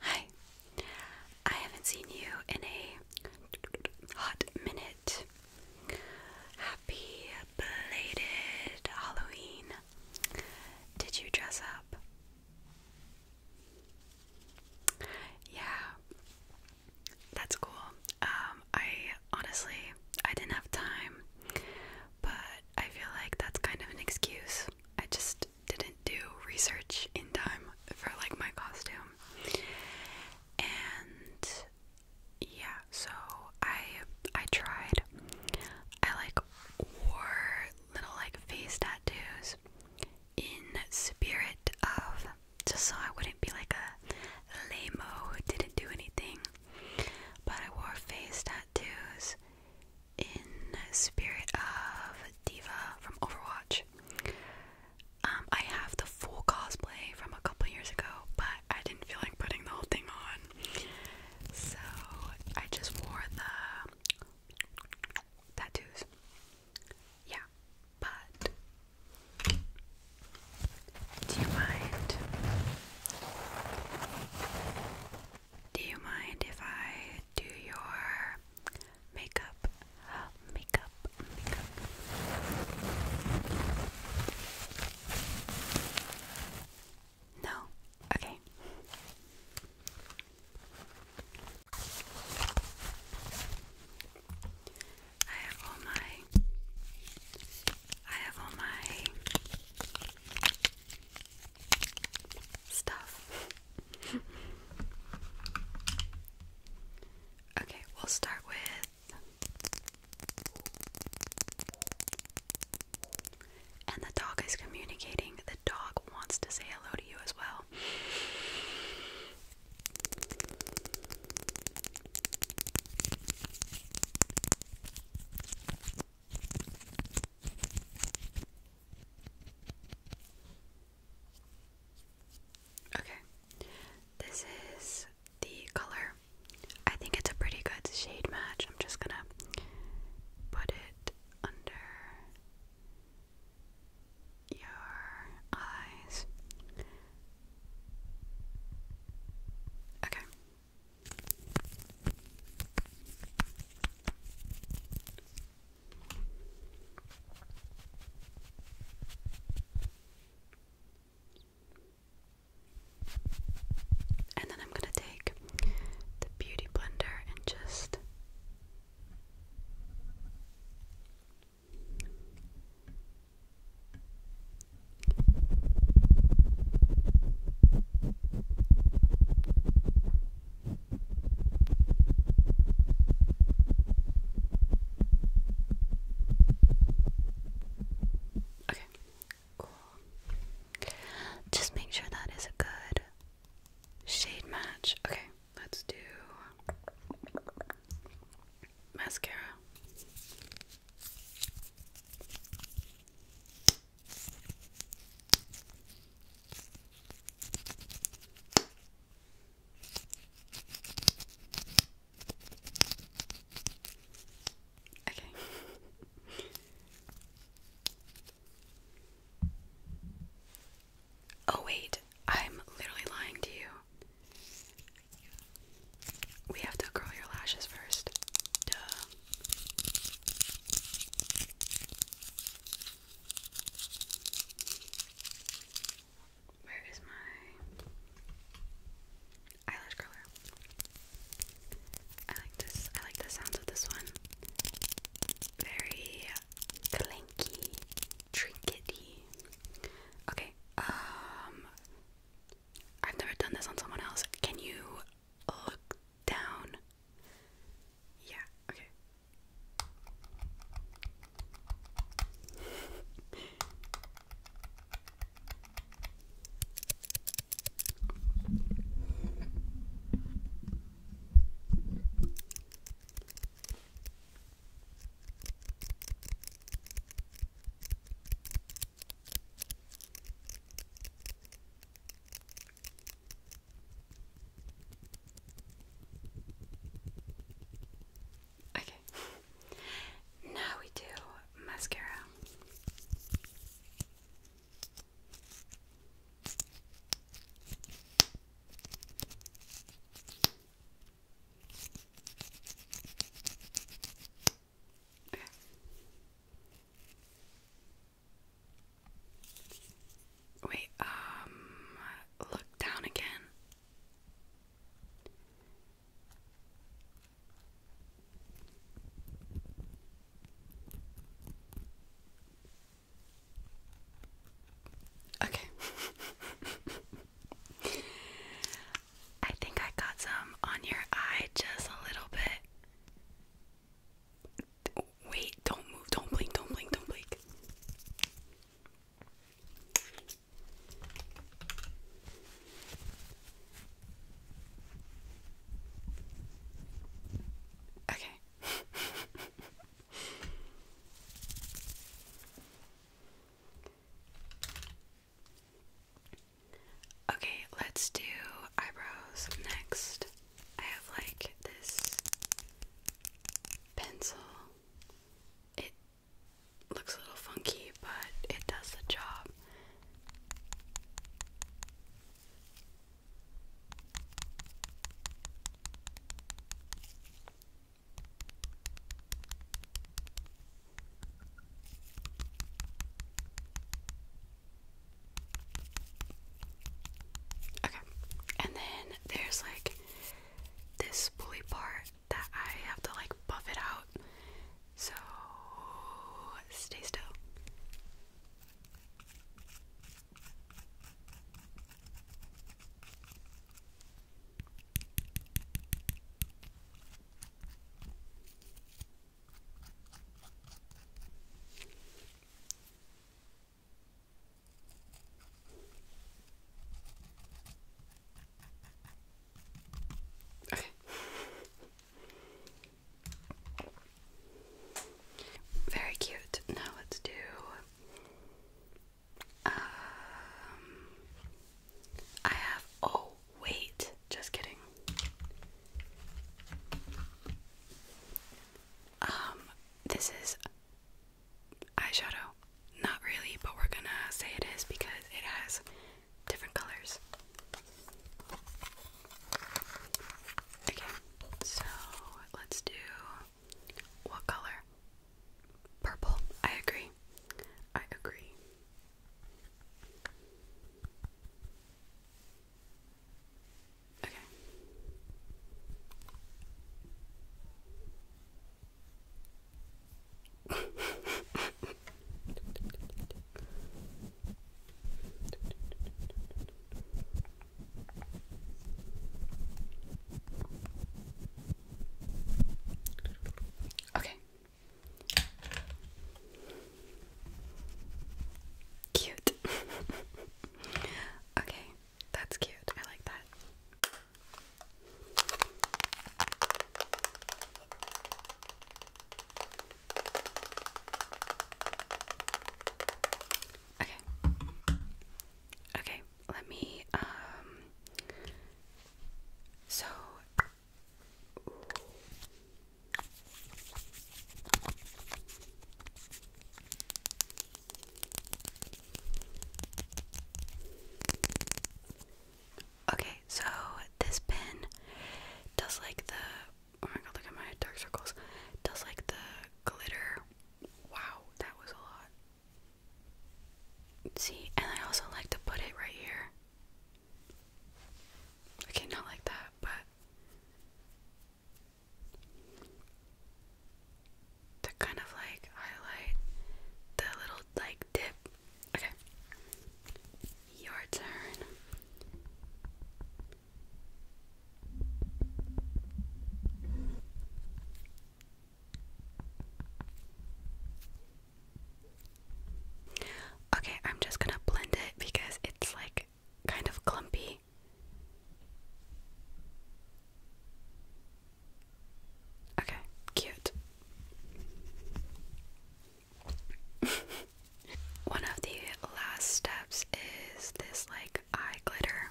Hi, I haven't seen you in a hot minute. Happy belated Halloween. Did you dress up? Yeah, that's cool. Um, I honestly I didn't have time, but I feel like that's kind of an excuse. I just didn't do research in time for like my costume. And yeah, so I I tried. I like wore little like face tattoos in spirit of just so I wouldn't be like a lameo who didn't do anything. But I wore face tattoos in spirit of Diva from Overwatch. Um, I have the full cosplay from a couple years ago, but I didn't feel like putting the whole thing on. So I just wore the tattoos. Yeah, but do you mind? Do you mind if I do your makeup? Makeup, makeup. No? Okay. I have all my I have all my stuff. okay, we'll start with and the dog is communicating. The dog wants to say hello to you as well. Okay, this is the color. I think it's a pretty good shade match. I'm just gonna put it under your eyes. Okay. And then I'm going to take the beauty blender and just Okay, cool. Just make sure that is a good shade match. Okay. Let's do mascara. Okay. Oh, wait, I'm literally lying to you. We have to curl your lashes first. Duh. Where is my eyelash curler? I like this. I like the sounds of this one. Very clanky trinkety. Okay, um, I've never done this on someone else. Can you look down? Yeah, okay. Okay. now we do mascara. Wait, um, look down again. Okay. I think I got some on your eye just a little bit. Wait, don't move. Don't blink. Don't blink. Don't blink. Okay. Okay, let's do eyebrows next. I have like this pencil. It looks a little funky, but it does the job. Okay, and then there's like this bully part that I have to like buff it out. So stay still. Okay. Very cute. Now let's do um, I have. Oh, wait. Just kidding. Um, this is eyeshadow. Not really, but we're gonna say it is because it has different colors. Okay, so let's do what color? Purple. I agree. I agree. Okay. Okay. Cute. okay, that's cute. I like that. Okay. Okay let me um so Okay, so this pen does like the oh my god, look at my dark circles. Does like the glitter. Wow, that was a lot. See, and I also like to put it right here. Okay, not like that, but to kind of like highlight the little like dip. Okay. Your turn. Okay, I'm just gonna blend it because it's like kind of clumpy. Okay, cute. One of the last steps is this like eye glitter.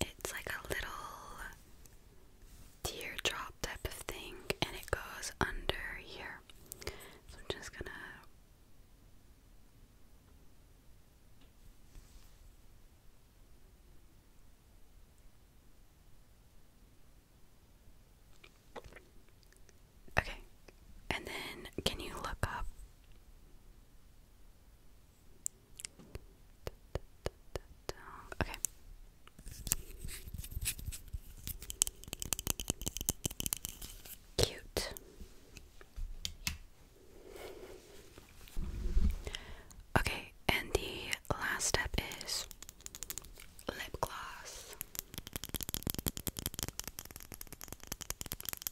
It's like a little tear drop type of thing, and it goes under here. So I'm just gonna. Okay, and then can you look up Okay. Cute. Okay, and the last step is lip gloss.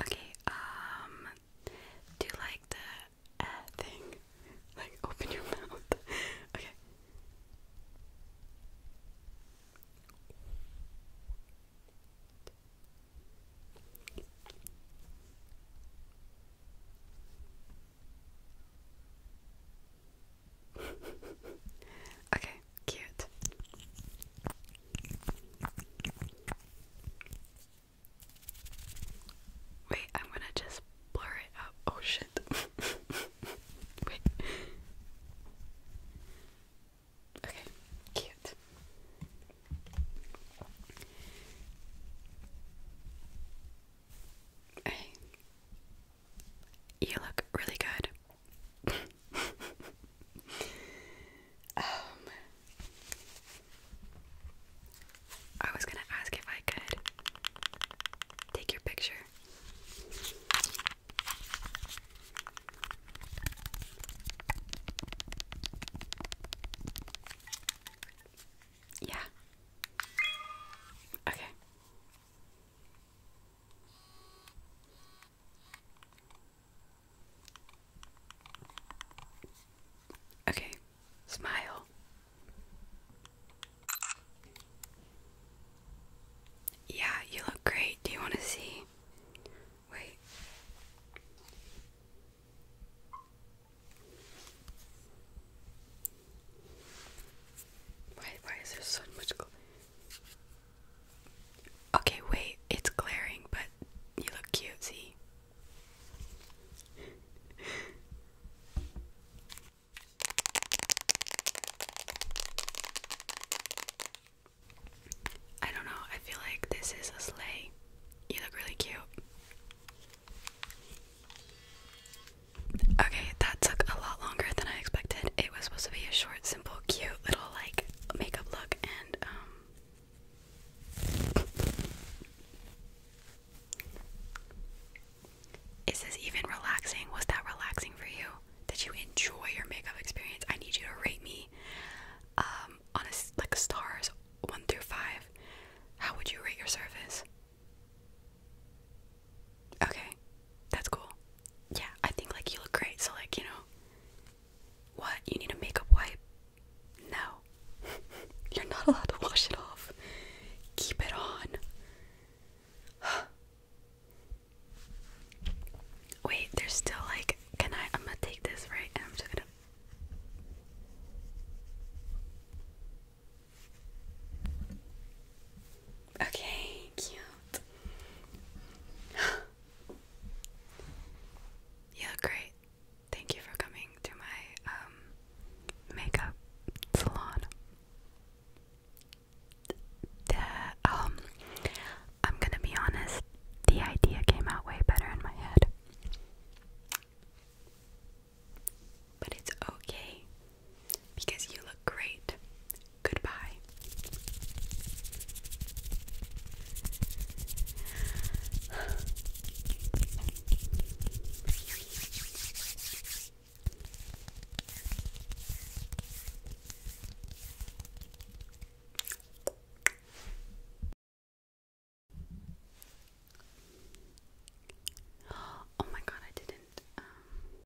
Okay, um, do like the uh, thing, like open your mouth. okay okay, cute. Wait, I'm gonna just blur it out. Oh shit. Wait. Okay, cute. Hey, you look really good. Um, I was gonna ask if I could take your picture. Yeah. Okay. Okay, smile. Yeah, you look great. Do you want to see? Wait. Why, why is there so much? Gl Okay, wait, it's glaring, but you look cute, see? I don't know, I feel like this is a sleigh. You look really cute. Okay, that took a lot longer than I expected. It was supposed to be a short, simple, cute little like makeup look and um Is this even relaxing? Was that relaxing for you? Did you enjoy your makeup experience? I need you to rate me um on a like stars 1 through 5. How would you rate your service? Okay, that's cool. Yeah, I think like you look great, so like, you know, what? You need a makeup wipe? No. You're not allowed to wash it off. Keep it on. Wait, there's still like, can I? I'm gonna take this right and I'm just gonna. Okay, cute. you look great. Thank you for coming to my um makeup salon. The, um I'm gonna be honest, the idea came out way better in my head. But it's okay because you look great. Goodbye. Oh my god, I didn't um,